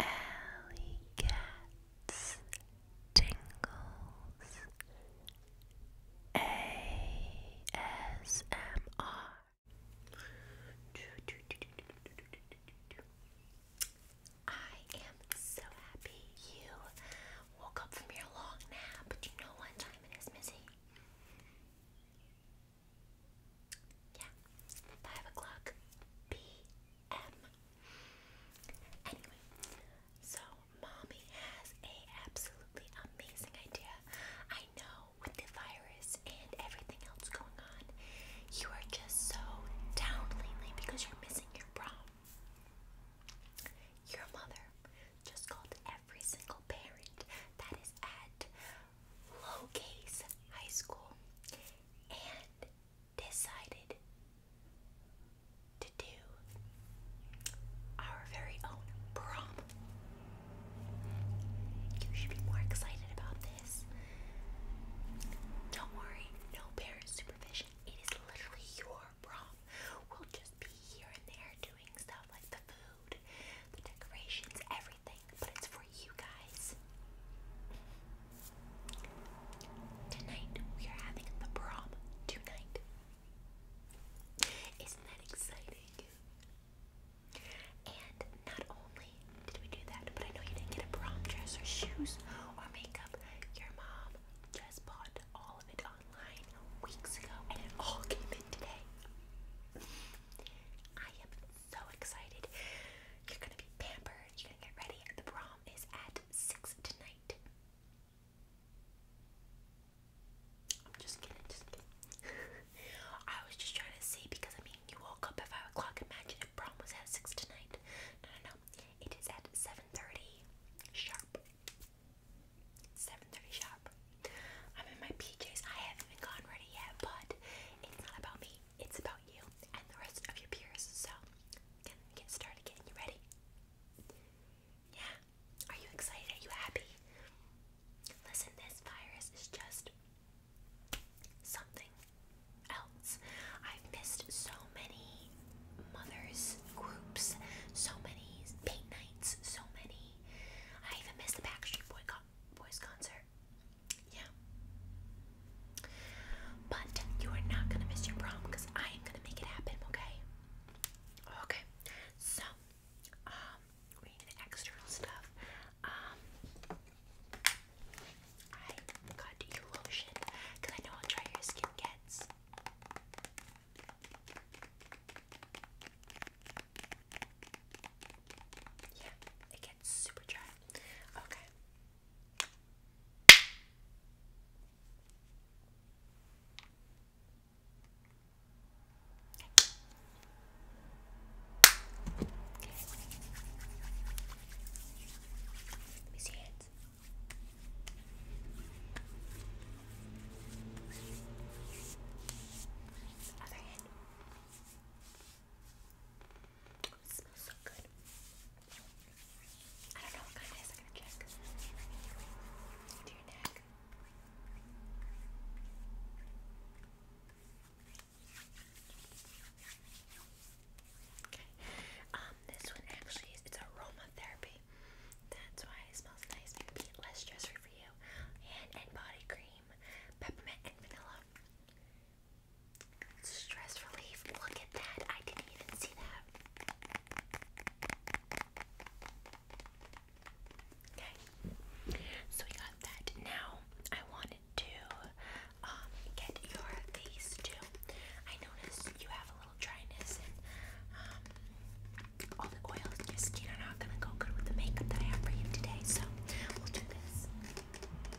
Alley Cats Tingles ASMR I am so happy you woke up from your long nap, but you know what time it is, Missy? Yeah, five o'clock p.m. Anyway, so mommy has a absolutely amazing idea. I know with the virus and everything else going on, you are just so down lately because you're missing your prom. Your mother just called every single parent that is at Low High School and decided to do our very own prom. You should be more excited about this. Don't worry, no parent supervision. It is literally your prom. We'll just be here and there doing stuff like the food, the decorations, everything but it's for you guys. Tonight we are having the prom tonight. Isn't that exciting? And not only did we do that, but I know you didn't get a prom dress or shoes or makeup. Your mom just bought all of it online weeks ago and it all came in today. I am so excited. You're gonna be pampered. You're gonna get ready. The prom is at six tonight. I'm just kidding. Just kidding. I was just trying to see because I mean you woke up at five o'clock. Imagine if prom was at six tonight. No, no, no. It is at seven thirty sharp. Seven thirty sharp. I'm in my PJs. I haven't even gone ready yet, but it's not about me. It's about you and the rest of your peers. So, we get started getting you ready? Yeah. Are you excited? Are you happy? Listen, this virus is just something else. I've missed so many mothers' groups, so many paint nights, so many. I even missed the Backstreet Boys concert. Yeah. But you are not gonna miss your prom because I am gonna make it happen, okay? Okay. So, um, we need the external stuff. Um I got you because I know how dry your skin gets. Yeah, it super dry. Okay. Let me see it. hands. hand. It smells so good. this one actually is it's aromatherapy. That's why it smells nice. Maybe less stressful for you. and body cream, peppermint and vanilla. Stress relief. Look at that. I didn't even see that. Okay. So we got that. Now I wanted to um, get your face too. I noticed you have a little dryness and um, all the oils in your skin are not gonna go good with the makeup that I have for you today. So we'll do this.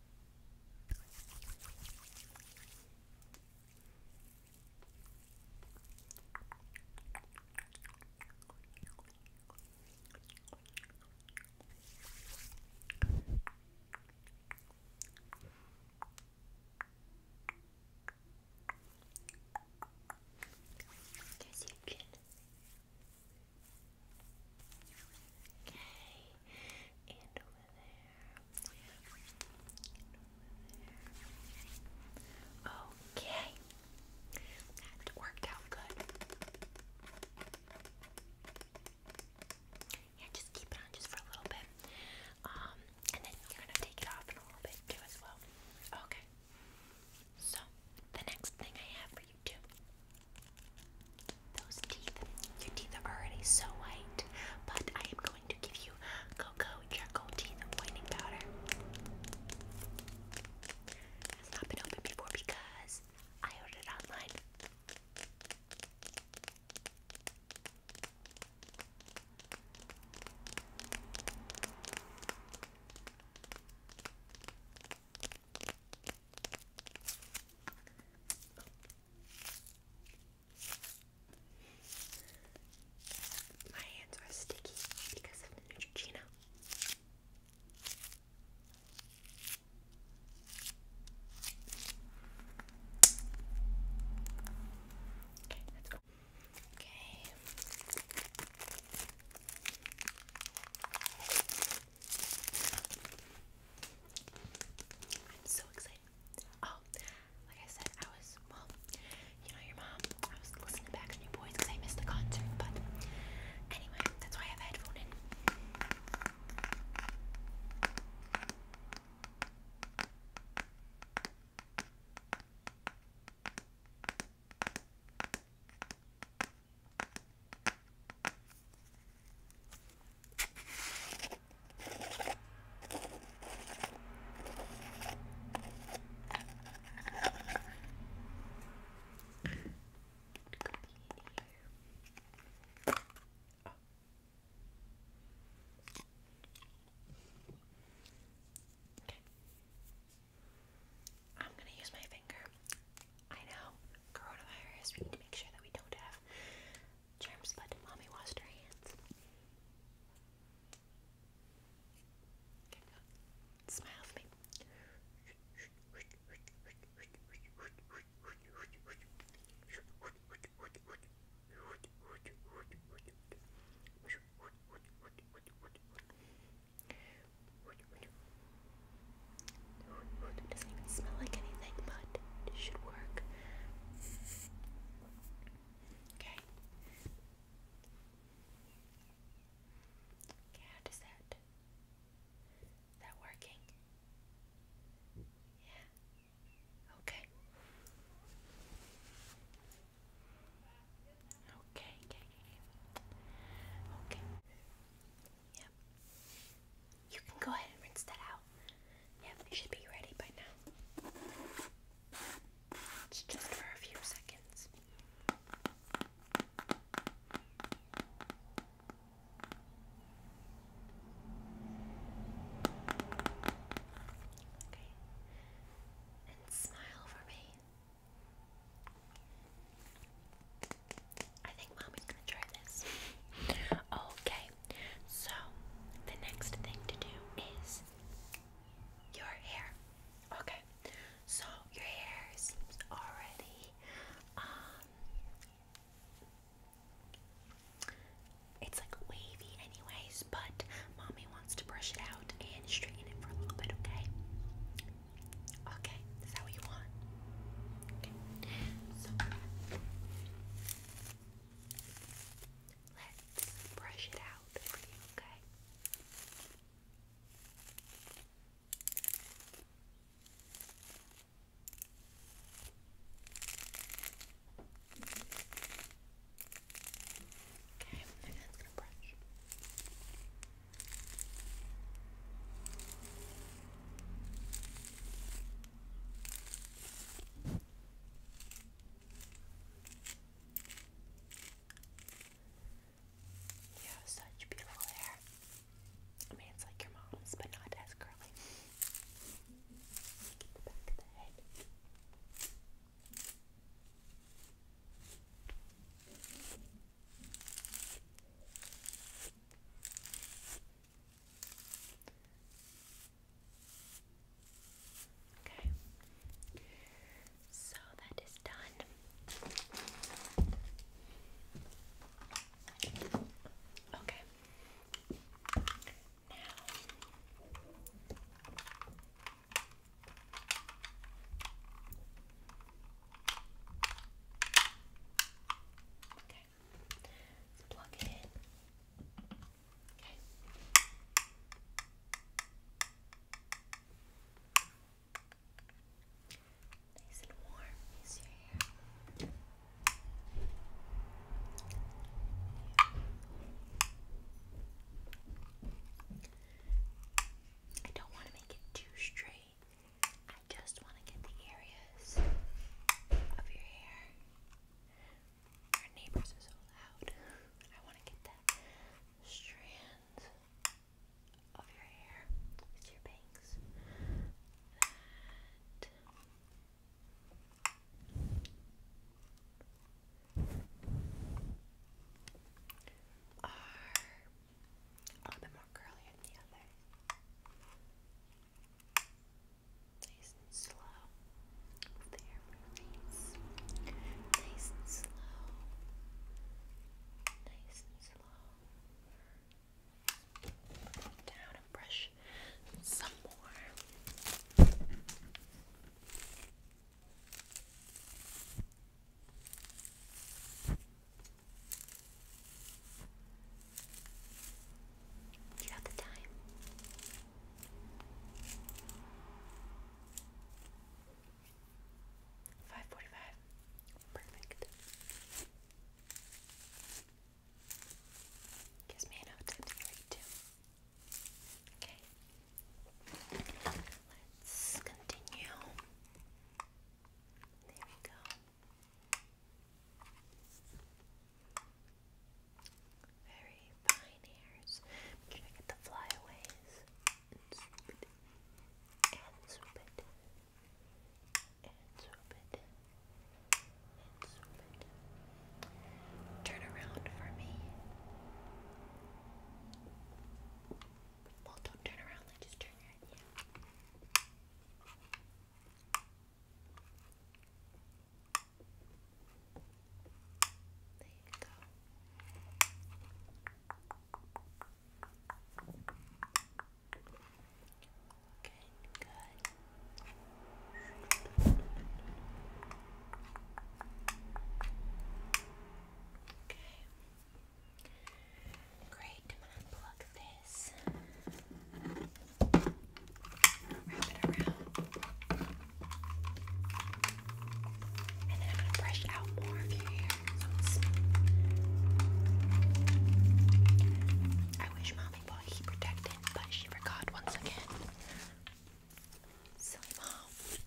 There's your chin. Okay, and over there. Okay, that worked out good. Yeah, just keep it on just for a little bit. Um, and then you're gonna take it off in a little bit too as well. Okay. So the next thing I have for you too those teeth, your teeth are already so white, but I am going to give you cocoa charcoal teeth whitening powder. It's not been opened before because I ordered online. My hands are sticky because of the Neutrogena. Okay, let's go. Okay. I'm so excited. Oh, like I said, I was, well, you know, your mom, I was listening back to New Boys because I missed the concert, but anyway, that's why I have a in. I'm going to use my finger I know, coronavirus, we need to make sure that we don't have germs, but mommy washed her hands. Smile for me. It doesn't even smell like anything, but it should work. Okay. Okay, how does that? Is that working? Yeah. okay, okay. Okay. Yep. You can go ahead and rinse that out. Yeah, it should be ready by now. just for a few seconds. Okay. And smile for me. I think mommy's gonna try this. Okay, so the next thing to do is your hair. Okay, so your hair seems already, um, it's like wavy, anyways, but mommy wants to brush it out and straighten it for a little bit, okay? Okay, is that what you want? Okay, so let's brush it out for you, okay? Okay, and that's gonna brush. You have such beautiful hair. I mean, it's like your mom's, but not as curly. Get the back of the head. Okay. So that is done. Okay. Now Okay. Let's plug it in. Okay. Nice and warm I don't want to make it too straight I just want to get the areas of your hair. Our neighbors are so loud. I want to get that strands of your hair your bangs. are a bit more curly than the other. Nice and slow. Move Nice and slow. Nice and slow. down and brush some more. Do you have the time? Five forty-five. Perfect. Gives me enough time to read too. Okay. Let's continue. There we go. Very fine hairs. Make sure get the flyaways and swoop it. And swoop it. And swoop it. And swoop it. Turn around for me. Well, don't turn around, just turn your there you go. Okay, good. Okay. Great, i this. Wrap it around. And then I'm gonna brush out more of your hair. I wish mommy bought heat protectant, but she forgot once again. Silly mom.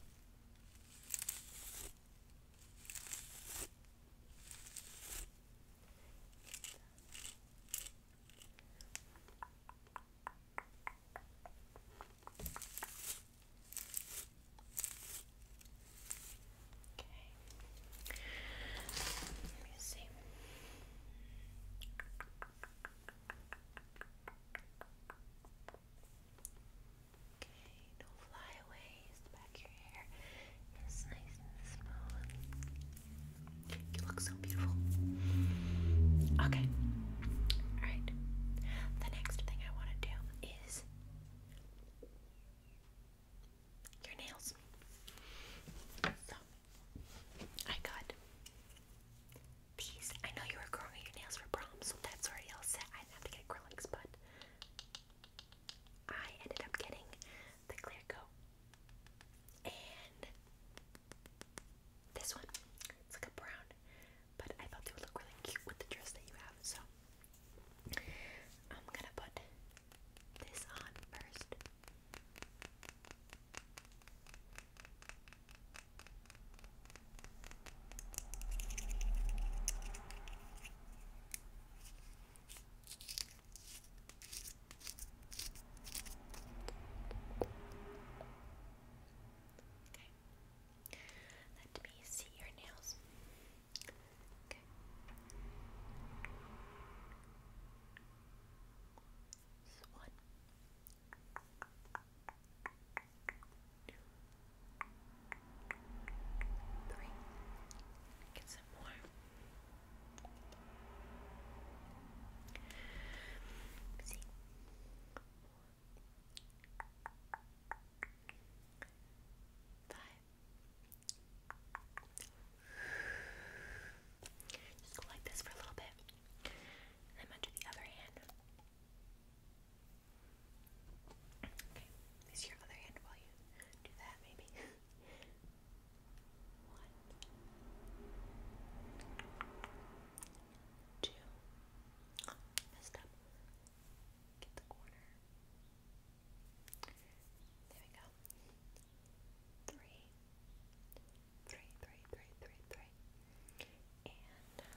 Okay. Let me see. Okay, don't fly away. Okay. Alright. The next thing I want to do is your nails. So, I got these. I know you were growing your nails for prom, so that's already all I didn't have to get acrylics, but I ended up getting the clear coat. And this one, it's like a brown, but I thought they would look really cute with the dress that you have, so I'm gonna put this on first. Okay. Let me see your nails. Okay. This Get some more. See. Five. Just go like this for a little bit. And then munch the other hand. Okay, use your other hand while you do that, maybe. Two. Oh, up. Get the corner. There we go. three, three, three. And let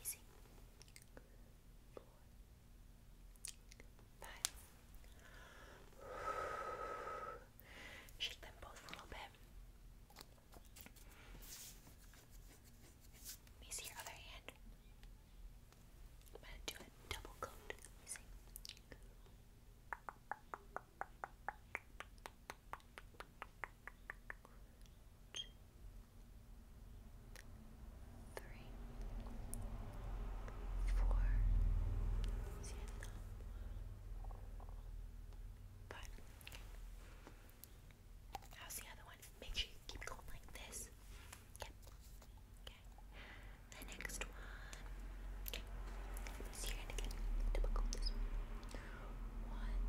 Easy. Four. Shake them both a little bit. Let your other hand. I'm gonna do a double coat two, three, four, five. How's the other one? Make sure you keep going like this. Yep. Okay. The next one. Let's again. One,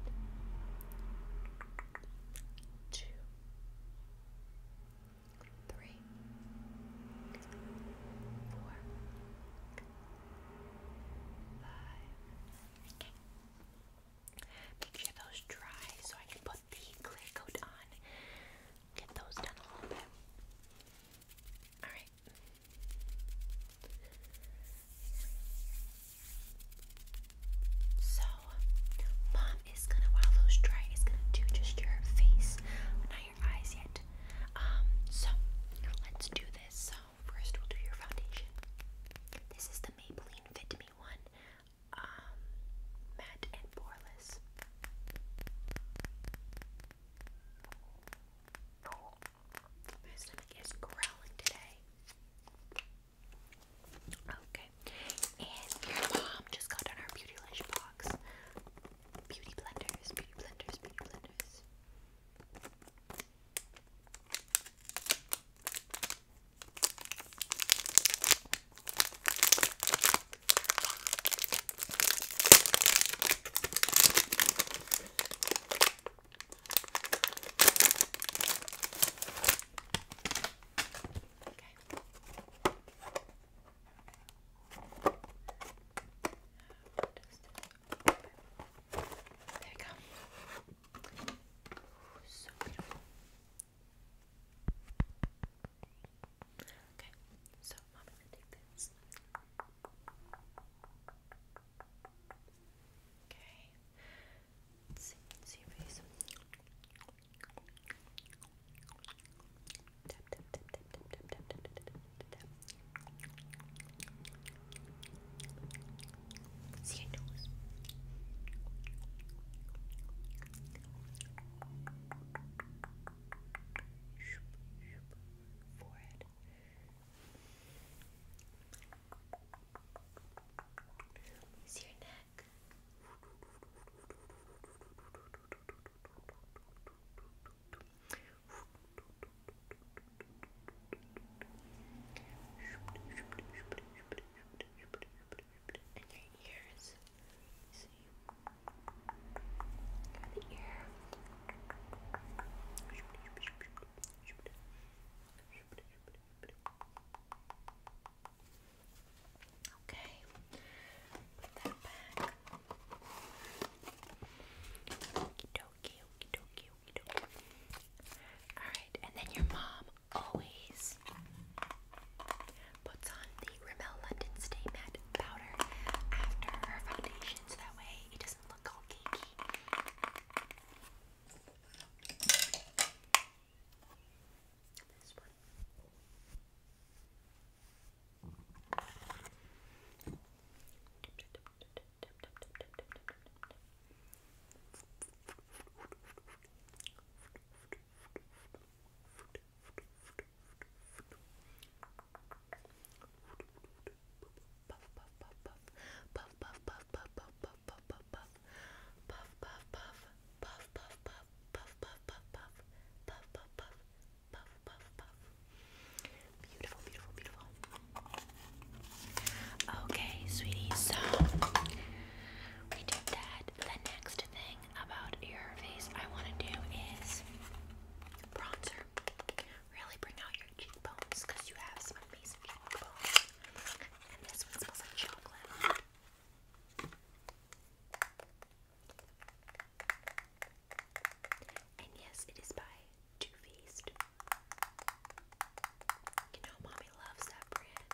two, three, four, five. Okay. Make sure those dry so I can put the clear coat on. Get those done a little bit. Alright, right. So, mom is gonna while those dry is gonna do just your face, not your eyes yet. Um, so let's do this. So first we'll do your foundation. This is the Maybelline Fit Me one, um, matte and poreless. My stomach is growling today. Okay. And your mom just got on our beauty lash box. Beauty blenders, beauty blenders, beauty blenders. There we go. Ooh, so beautiful. Okay, so I'm gonna take this. Okay. let see, see face. See nose. Forehead. forehead, is your neck? And your ears. See the ear. Okay, put Alright, and then your mom always puts on the Rimmel London Stay Matte powder after her foundation that way it doesn't look little cakey. This one beautiful beautiful beautiful okay sweetie so we did that the next thing about your face I want to do is bronzer really bring out your cheekbones because you have some amazing cheekbones. And this one smells like chocolate. And yes, it is by Too Faced. You know, mommy loves that brand.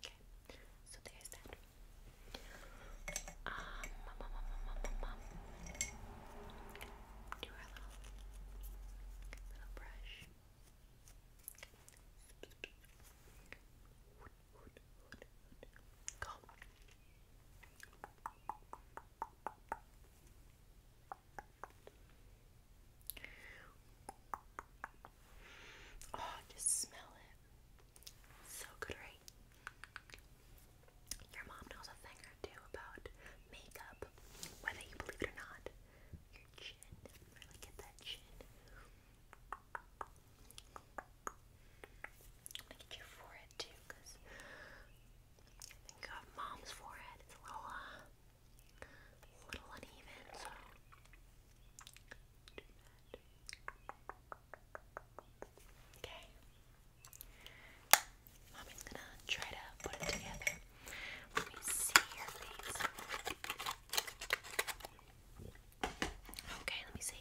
Okay, so there's that. Um, Do our little, little brush. Go. Oh, just smell it. So good, right? Your mom knows a thing or two about makeup, whether you believe it or not. Your chin, really get that chin. I'm your forehead too, cause I think uh, mom's forehead. It's a little, uh, little uneven, so. Okay. Mommy's gonna try to put it together. Let me see your face. Okay, let me see.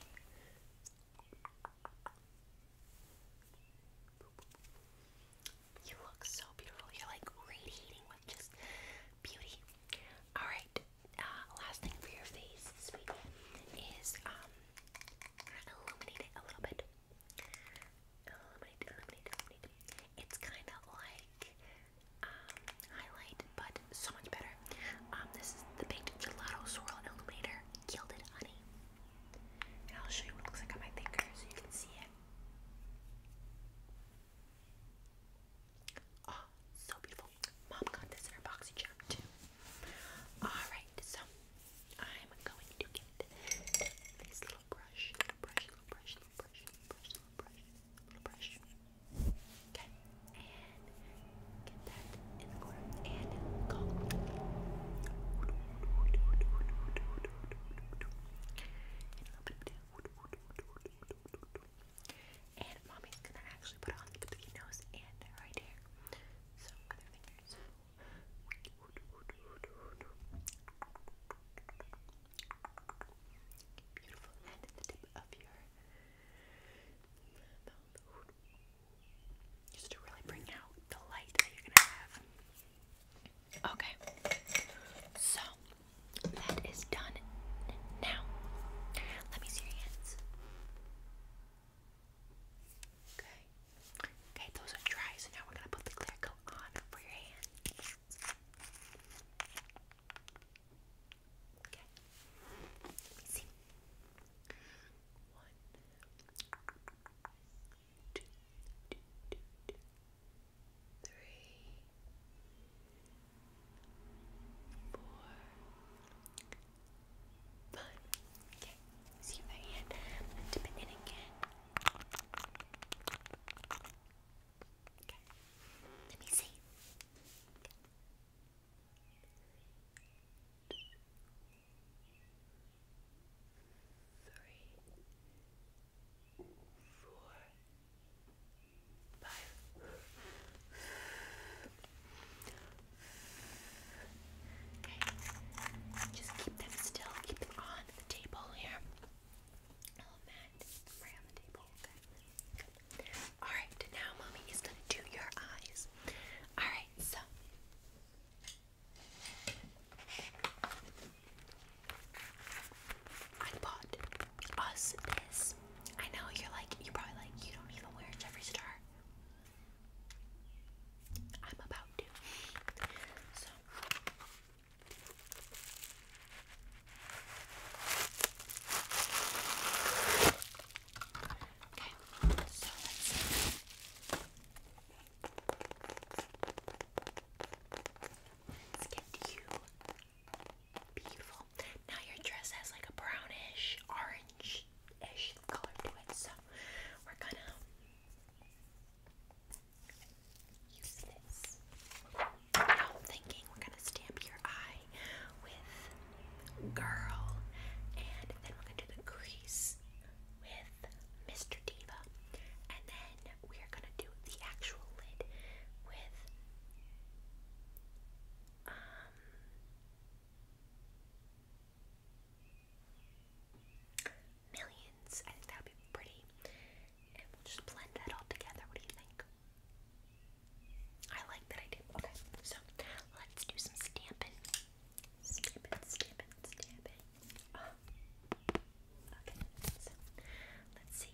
You look so beautiful. You're like radiating with just beauty. Alright, uh, last thing for your face, sweetie, is um, illuminate it a little bit. Illuminate, illuminate, illuminate. It's kind of like um, highlight, but so much better. Um, this is the Baked Gelato Swirl Illuminator Gilded Honey. And I'll show you what it looks like on my finger so you can see it. Oh, so beautiful. Mom got this in her boxy charm too. Alright, so I'm going to get this little brush. Little brush, little brush, little brush, little brush, little brush, little brush. Okay. And get that in the corner. And go. And mommy's gonna actually put on the between nose and right here. So other fingers. Beautiful. And the tip of your Just to really bring out the light that you're gonna have. Okay. So that is done now. Let me see your hands. Okay. Okay, those are dry, so now we're gonna put the clear coat on for your hands. Okay. Let me see. One, two, two, two, two, three, four, five. Okay, see your I'm dip it in again. Okay, let me see. Three, four, Bye. Okay. Just keep them still. Keep them on the table here. Oh, Alright, now mommy is gonna do your eyes. Alright, so I bought us this I know you're like, you're probably like, you don't even wear Jeffree Star. I'm about to. Okay, so let's see. let you Beautiful. Now your dress has like a brownish, orange-ish color to it, so we're gonna use this. Oh, i thinking we're gonna stamp your eye with girl, and then we're gonna do the crease with Mr. Diva, and then we're gonna do the actual lid with um, millions. I think that would be pretty. just blend that all together. What do you think? I like that idea. Okay, so let's do some stamping. Stamping, stamping, stamping. Ah. Okay, so let's see.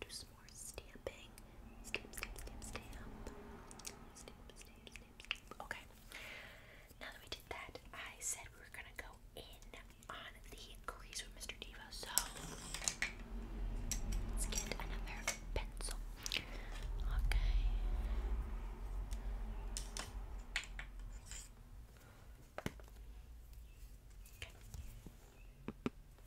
do some more stamping. Stamp, stamp, stamp, stamp. Stamp, stamp, stamp, Okay. Now that we did that, I said we were gonna go in on the crease with Mr. Diva, so let's get another pencil. Okay.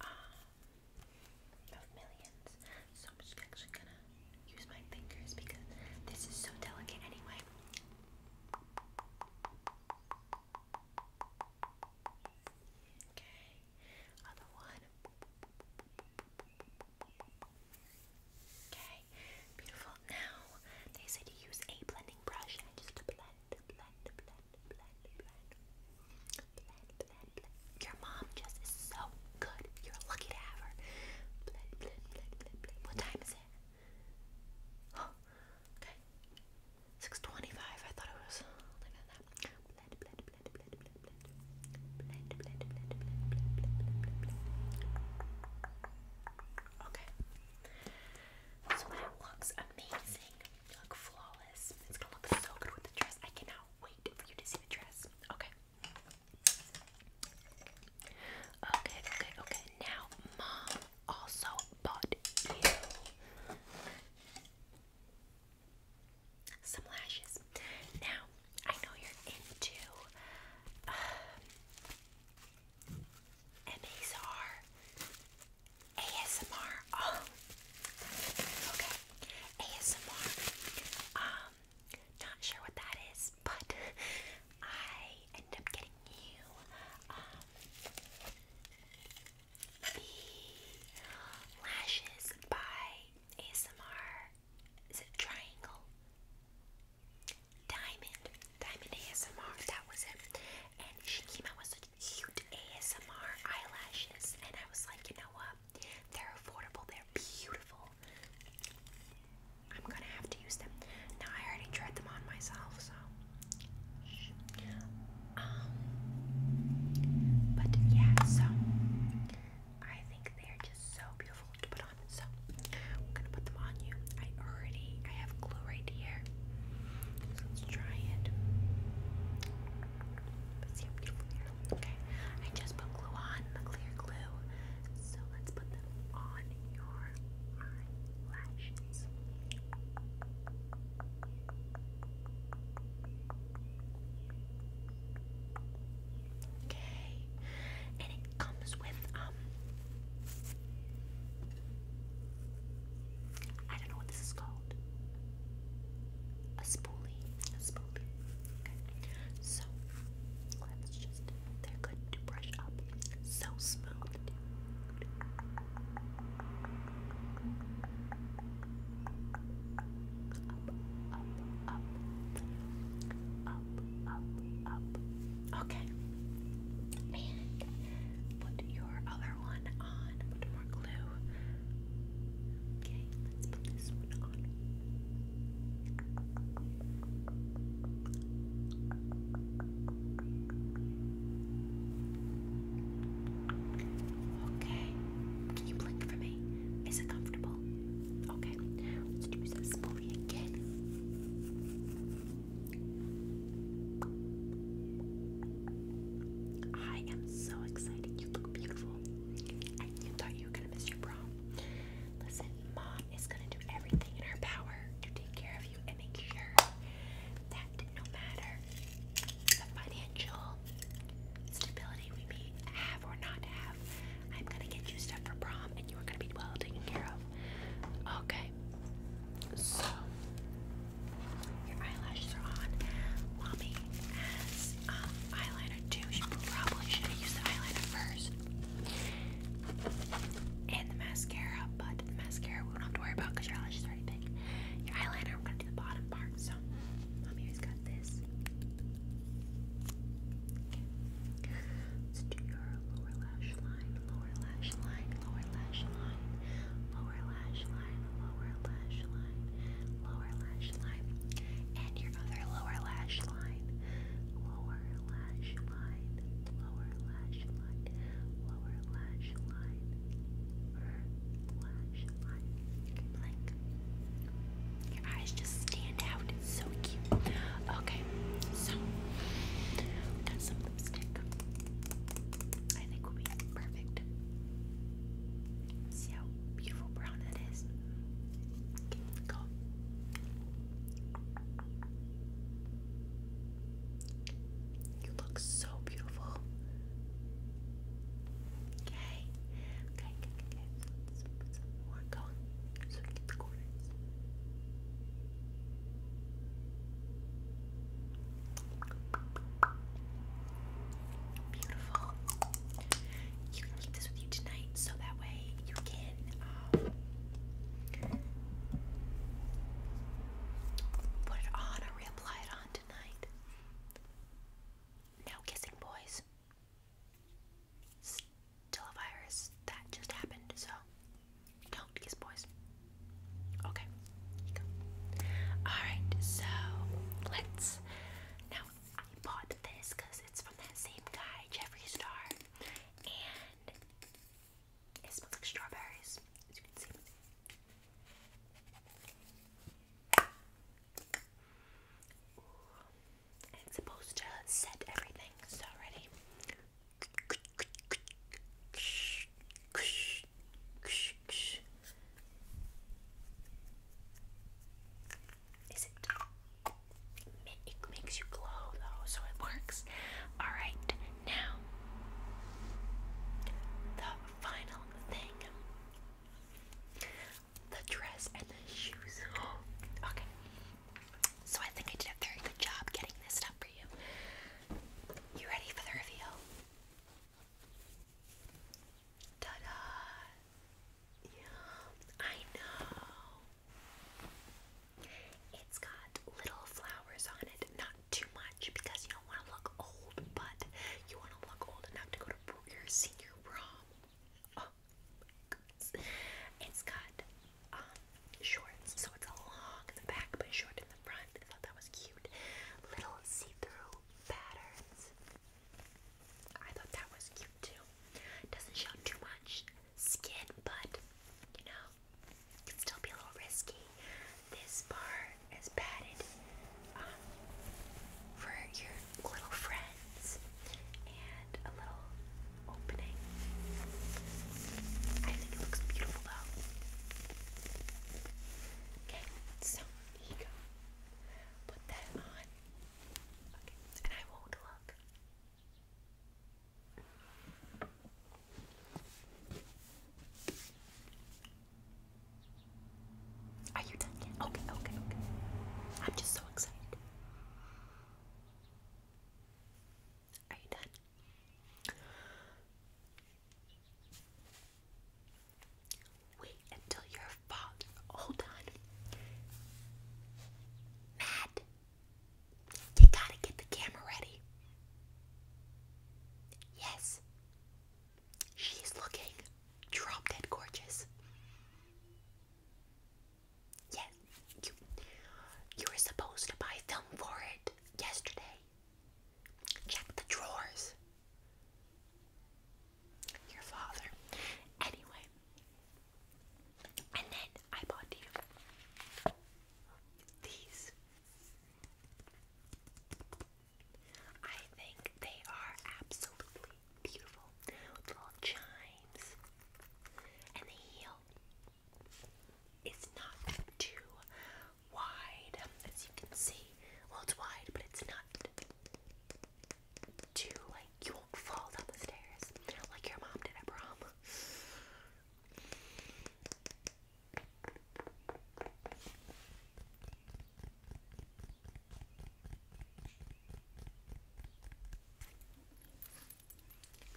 Um, of millions. So I'm just actually gonna use my fingers because this is so delicate anyway. Okay, other one. Okay, beautiful. Now they said to use a blending brush and just blend, blend, blend, your mom just is so good. You're lucky to have her. What time is it? okay. 625. I thought it was later Okay. So that looks amazing. look flawless jealous. It's gonna look so good with the dress. I cannot wait for you to see the dress. Okay. Okay, okay, Now, mom also bought you some lashes. Now, I know you're into um, ASMR. Oh. okay. ASMR. Um, not sure what that is, but I end up getting you um the lashes by ASMR. Is it triangle? Diamond, Diamond ASMR. That was it. And she came Cute ASMR eyelashes, and I was like, you know what? They're affordable, they're beautiful. I'm gonna have to use them. Now, I already tried them on myself, so. Um, but yeah, so I think they're just so beautiful to put on. So I'm gonna put them on you. I already I have glue right here. So let's try it. you Okay, I just put glue on the clear glue. So let's put them on your eyelashes. Okay, and it comes with um I don't know what this is called. A spoolie. A spoolie. Okay. So let's just they're good to brush up. So smooth. Dude. Up, up, up. Up, up, up. Okay. put your other one on. Put more glue. Okay, let's put this one on. Okay. Can you blink for me? Is it comfortable? Okay. Let's do this spoolie again. Okay. I am so excited. You look beautiful. And you thought you were gonna miss your prom. Listen, mom is gonna do everything in her power to take care of you and make sure that no matter the financial stability we may have or not have, I'm gonna get you stuff for prom and you are gonna be well taken care of. Okay. So, your eyelashes are on. Mommy has um, eyeliner too. She probably should have the eyeliner first. And the mascara, but the mascara we don't have to worry about because your eyelashes are already big. Your eyeliner, I'm going to do the bottom part. So, mommy has got this. Let's do your lower lash line, lower lash line, lower lash line, lower lash line, lower lash line, lower lash line, and your other lower lash line, lower lash line, lower lash line, lower lash line, Your eyes just stand out. so cute. Okay, so we some lipstick. I think will be perfect. See how beautiful brown that is? go. You look so beautiful. Okay. Okay, okay, going so get the corners. Beautiful. You can keep this with you tonight so that way you can um, put it on or reapply it on tonight. No kissing, boys. Still a virus that just happened, so don't kiss, boys. Okay, Alright, so let's. Now, I bought this it's from that same guy, Jeffree Star, and it smells like strawberries, as you can see. it's supposed to set everything, so ready? Is it? It makes you glow though, so it works. Alright, now the final thing the dress and the shoes. okay, so I think I did a very good job getting this stuff for you. You ready for the reveal? Yum! I know! It's got little flowers on it, not too much because you don't want to look old, but you want to look old enough to go to your senior prom. Oh my It's got um, shorts, so it's long in the back but short in the front. I thought that was cute. Little see-through patterns. I thought that was cute too. Doesn't show too much skin, but you know, can still be a little risky. This bar is padded um, for your little friends and a little opening. I think it looks beautiful though. Okay, so here you go. Put that on. Okay, and I won't look. Are you done yet? Okay, okay, okay. I'm just so excited. Are you done? Wait until your father. Hold on. Matt, you gotta get the camera ready. Yes. She's looking drop dead gorgeous. Yes, you, you were supposed to buy film for it yesterday. Check the drawers. Your father. Anyway. And then I bought you these. I think they are absolutely beautiful. With little chimes. And the heel is not too wide, as you can see. Well, it's wide, but it's not too, like, you won't fall down the stairs like your mom did at prom.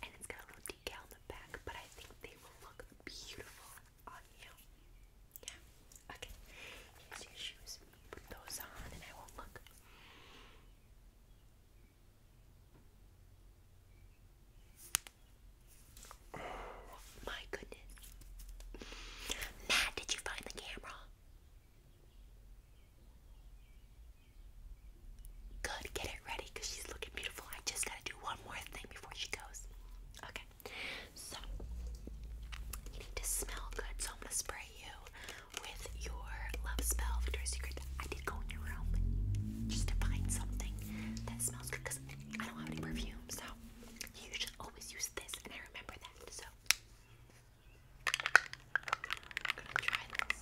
And it's got a little decal on the back, but I think they will look beautiful on you. Yeah. Okay. Put those on, and I won't look. my goodness. Matt, did you find the camera? Good, get it ready because she's looking beautiful. I just gotta do one more thing before she goes. Okay so you need to smell good, so I'm gonna spray you with your love spell, Victoria's Secret. I did go in your room just to find something that smells good because I don't have any perfume, so you should always use this, and I remember that. So I'm gonna try this.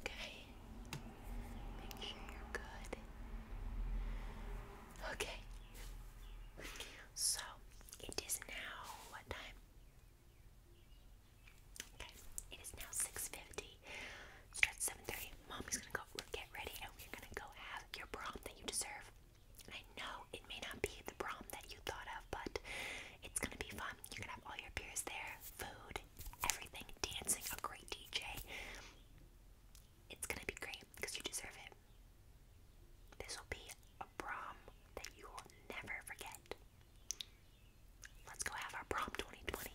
Okay. Make sure you're good. Okay. So it is now what time? Okay. It is now six fifty. Starts seven thirty. Mommy's gonna go get ready, and we're gonna go have your prom that you deserve. I know it may not be the prom that you thought of, but it's gonna be fun. You're gonna have all your peers there, food, everything, dancing, a great DJ. It's gonna be great because you deserve it. This will be a prom that you will never forget. Let's go have our prom 2020.